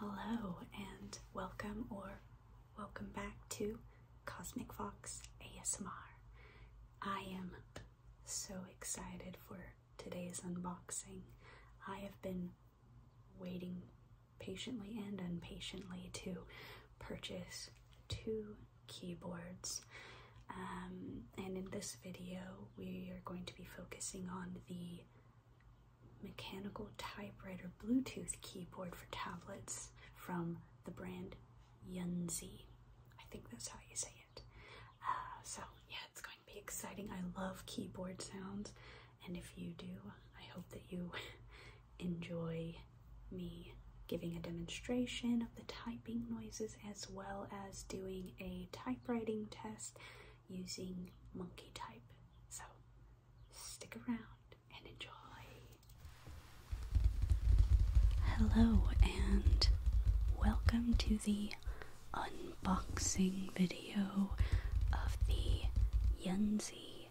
Hello and welcome or welcome back to Cosmic Fox ASMR. I am so excited for today's unboxing. I have been waiting patiently and impatiently to purchase two keyboards. Um, and in this video, we are going to be focusing on the mechanical typewriter Bluetooth keyboard for tablets from the brand Yunzi. I think that's how you say it. Uh, so yeah, it's going to be exciting. I love keyboard sounds, and if you do, I hope that you enjoy me giving a demonstration of the typing noises as well as doing a typewriting test using monkey type. So stick around and enjoy. Hello and welcome to the unboxing video of the Yunzi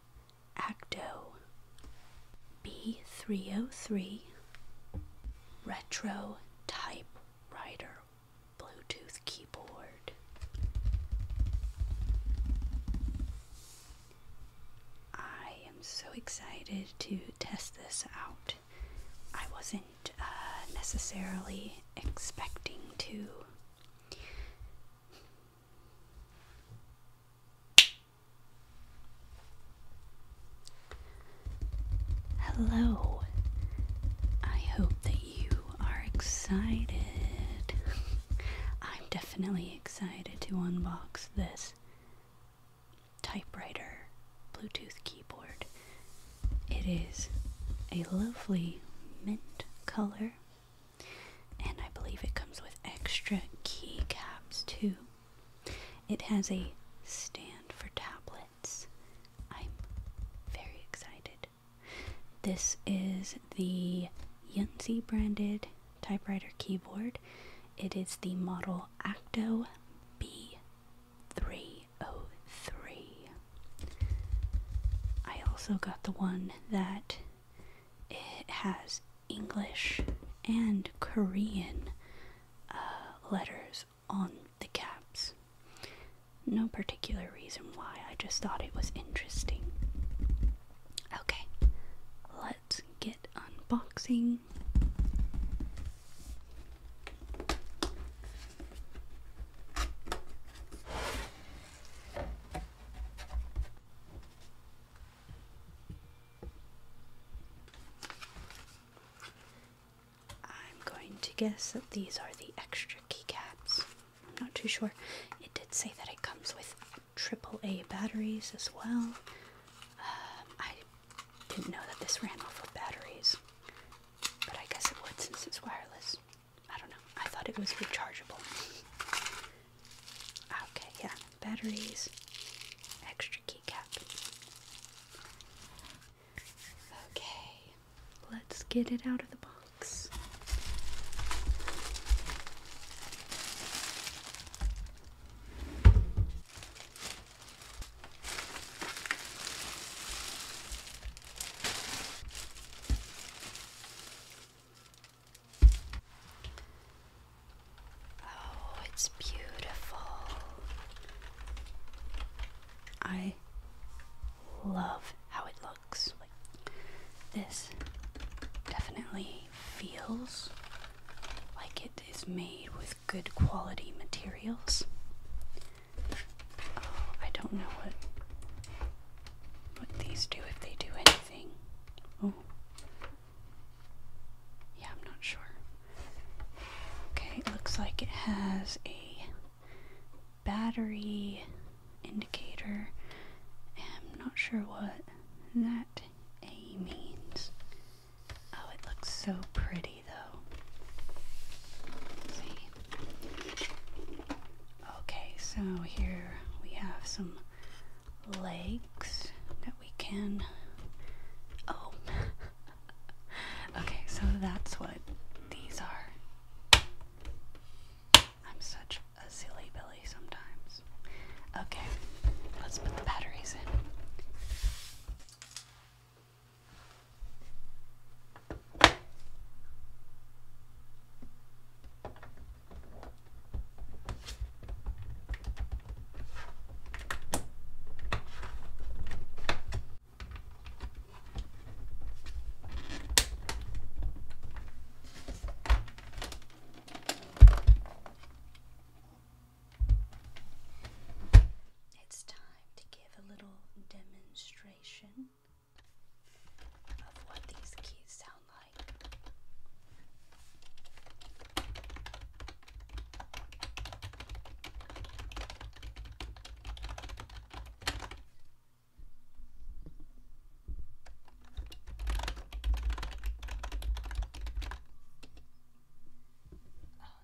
Acto B303 Retro Typewriter Bluetooth Keyboard. I am so excited to test this out. I wasn't uh, necessarily expecting to Hello. I hope that you are excited. I'm definitely excited to unbox this typewriter Bluetooth keyboard. It is a lovely mint color and I believe it comes with extra keycaps too. It has a stand for tablets. I'm very excited. This is the Yunzi branded typewriter keyboard. It is the model Acto B303. I also got the one that it has English and Korean uh, letters on the caps. No particular reason why, I just thought it was interesting. Okay, let's get unboxing. I'm going to guess that these are the extra keycaps. I'm not too sure. It did say that it comes with AAA batteries as well. Um, I didn't know that this ran off of batteries, but I guess it would since it's wireless. I don't know. I thought it was rechargeable. Okay, yeah. Batteries, extra keycap. Okay, let's get it out of the box. Oh, it's beautiful. I love how it looks. this definitely feels like it is made with good quality materials. Oh, I don't know what what these do if they do anything. Oh. Yeah, I'm not sure. Okay, looks like it has a battery indicator. I'm not sure what that A means. Oh, it looks so pretty though. see. Okay, so here we have some legs that we can. Oh. okay, so that's what these are. I'm such a silly billy sometimes. Okay, let's put the batteries in. It's time to give a little demonstration what these keys sound like. Oh,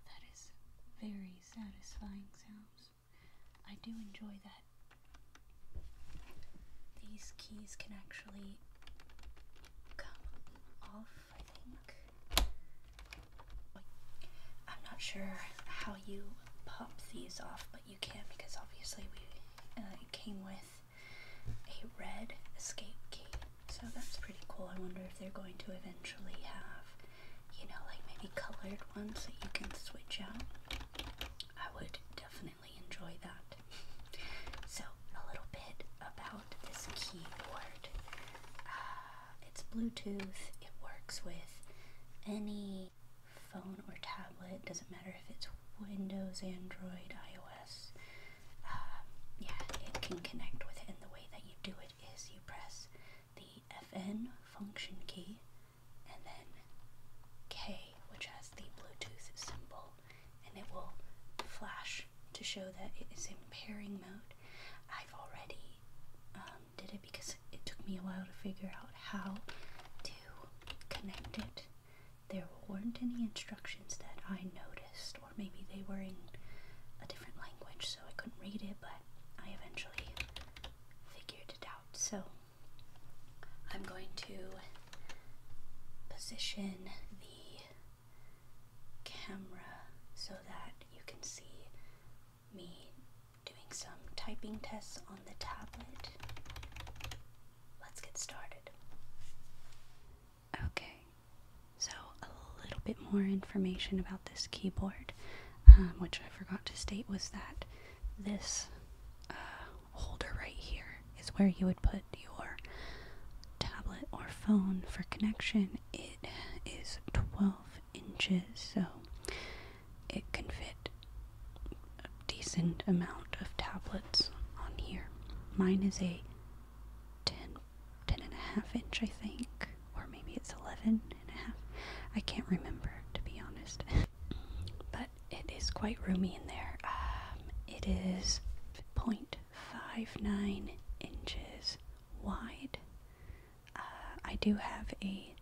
that is very satisfying sounds. I do enjoy that these keys can actually come off, I think. I'm not sure how you pop these off, but you can because obviously we uh, came with a red escape key. So that's pretty cool. I wonder if they're going to eventually have, you know, like maybe colored ones that you can switch out. I would definitely enjoy that. So, a little bit about this keyboard. Uh, it's Bluetooth, it works with any phone or tablet, doesn't matter if it's Windows, Android, iOS. Uh, yeah, it can connect with it, and the way that you do it is you press the FN function key and then K, which has the Bluetooth symbol, and it will flash to show that it is in pairing mode. I've already um, did it because it took me a while to figure out how to connect it. There weren't any instructions that I noticed, or maybe they were in a different language, so I couldn't read it, but I eventually figured it out. So I'm going to position the camera so that you can see me doing some typing tests on the tablet. Let's get started. Okay, so a little bit more information about this keyboard. Um, which I forgot to state was that this uh, holder right here is where you would put your tablet or phone for connection. It is 12 inches, so it can fit a decent amount of tablets on here. Mine is a 10, 10 and a half inch, I think or maybe it's 11 and a half. I can't remember, to be honest. but it is quite roomy in there. Um, it is 0.59 inches wide. Uh, I do have a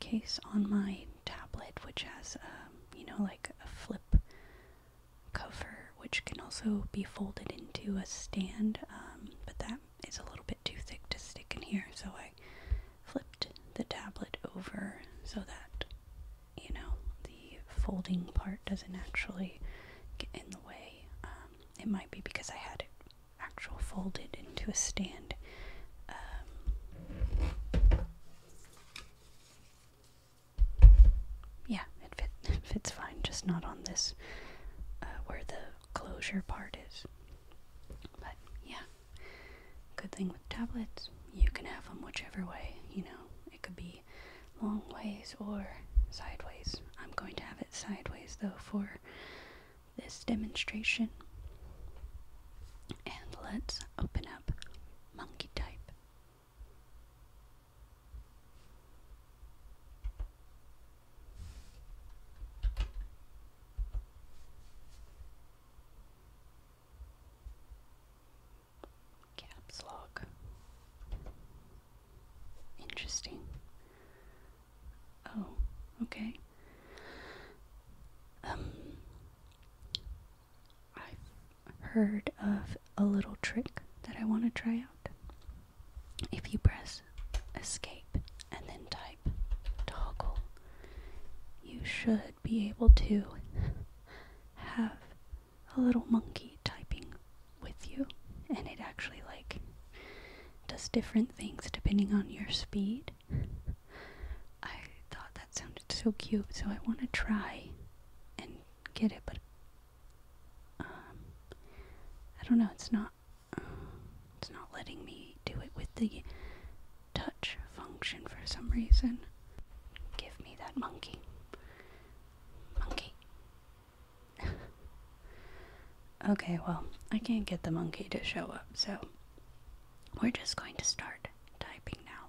case on my tablet which has, um, you know, like a flip cover, which can also be folded into a stand, um, but that is a little bit too thick to stick in here, so I flipped the tablet over so that, you know, the folding part doesn't actually get in the way. Um, it might be because I had it actual folded into a stand. Um, yeah, it, fits fine, just not on this uh, where the closure part is. But yeah, good thing with tablets, you can have them whichever way, you know. It could be long ways or sideways. I'm going to have it sideways though for this demonstration. And let's open up monkey type. Caps lock. Interesting. Oh, okay. Um, I've heard of a little trick that I want to try out. If you press escape and then type toggle, you should be able to have a little monkey typing with you, and it actually like does different things depending on your speed. I thought that sounded so cute, so I want to try and get it, but um, I don't know, it's not, it's not letting me do it with the touch function for some reason. Give me that monkey. Monkey. okay, well, I can't get the monkey to show up, so we're just going to start typing now.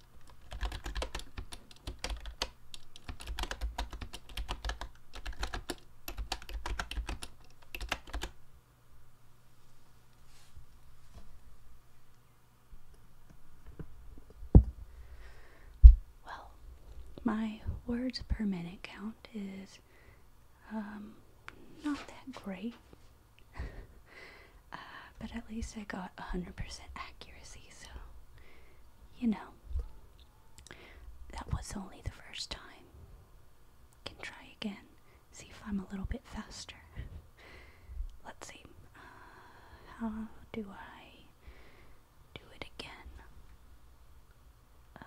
Well, my words per minute count is um, not that great, Uh, but at least I got 100% accuracy, so you know, that was only the first time. Can try again, see if I'm a little bit faster. Let's see, uh, how do I do it again? Um,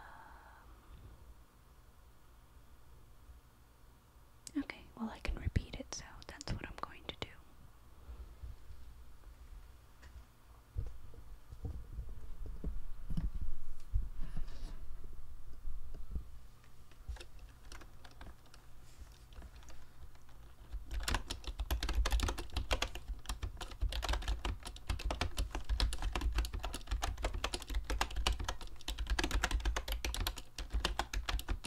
Okay, well, I can repeat it, so that's what I'm going to do.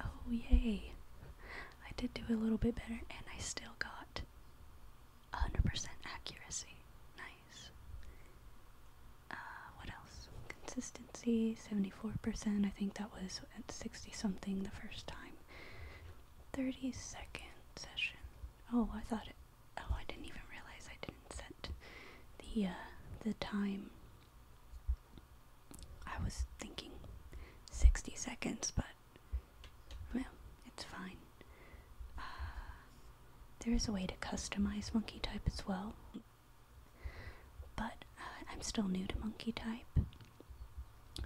Oh, yay. I did do a little bit better, and I still got 100% accuracy. Nice. Uh, what else? Consistency 74%. I think that was at 60 something the first time. 30 second session. Oh, I thought it. Oh, I didn't even realize I didn't set the uh, the time I was thinking 60 seconds, but well, it's fine. Uh, there is a way to customize monkey type as well, but uh, I'm still new to monkey type,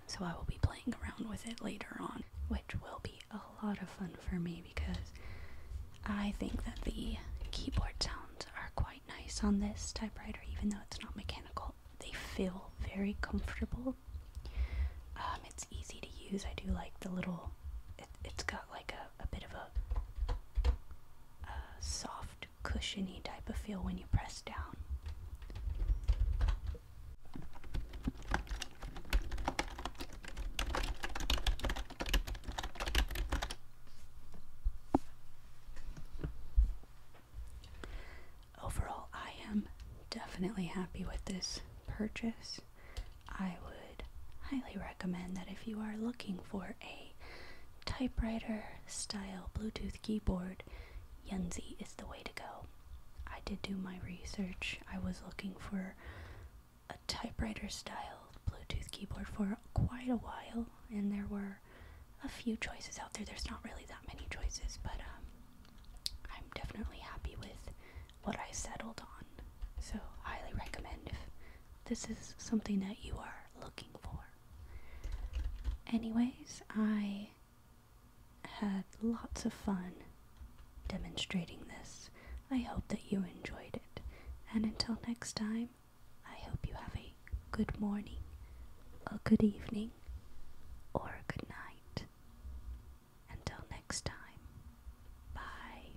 so I will be playing around with it later on, which will be a lot of fun for me because I think that the keyboard sounds are quite nice on this typewriter, even though it's not mechanical. They feel very comfortable. Um, it's easy to use. I do like the little. It, has got like a, bit of a soft, cushiony type of feel when you press down. Overall, I am definitely happy with this purchase. I would highly recommend that if you are looking for a typewriter style Bluetooth keyboard, Yunzi is the way to go. I did do my research. I was looking for a typewriter style Bluetooth keyboard for quite a while, and there were a few choices out there. There's not really that many choices, but um, I'm definitely happy with what I settled on. So, highly recommend if this is something that you are looking for. Anyways, I had lots of fun demonstrating this. I hope that you enjoyed it. And until next time, I hope you have a good morning, a good evening, or a good night. Until next time, bye.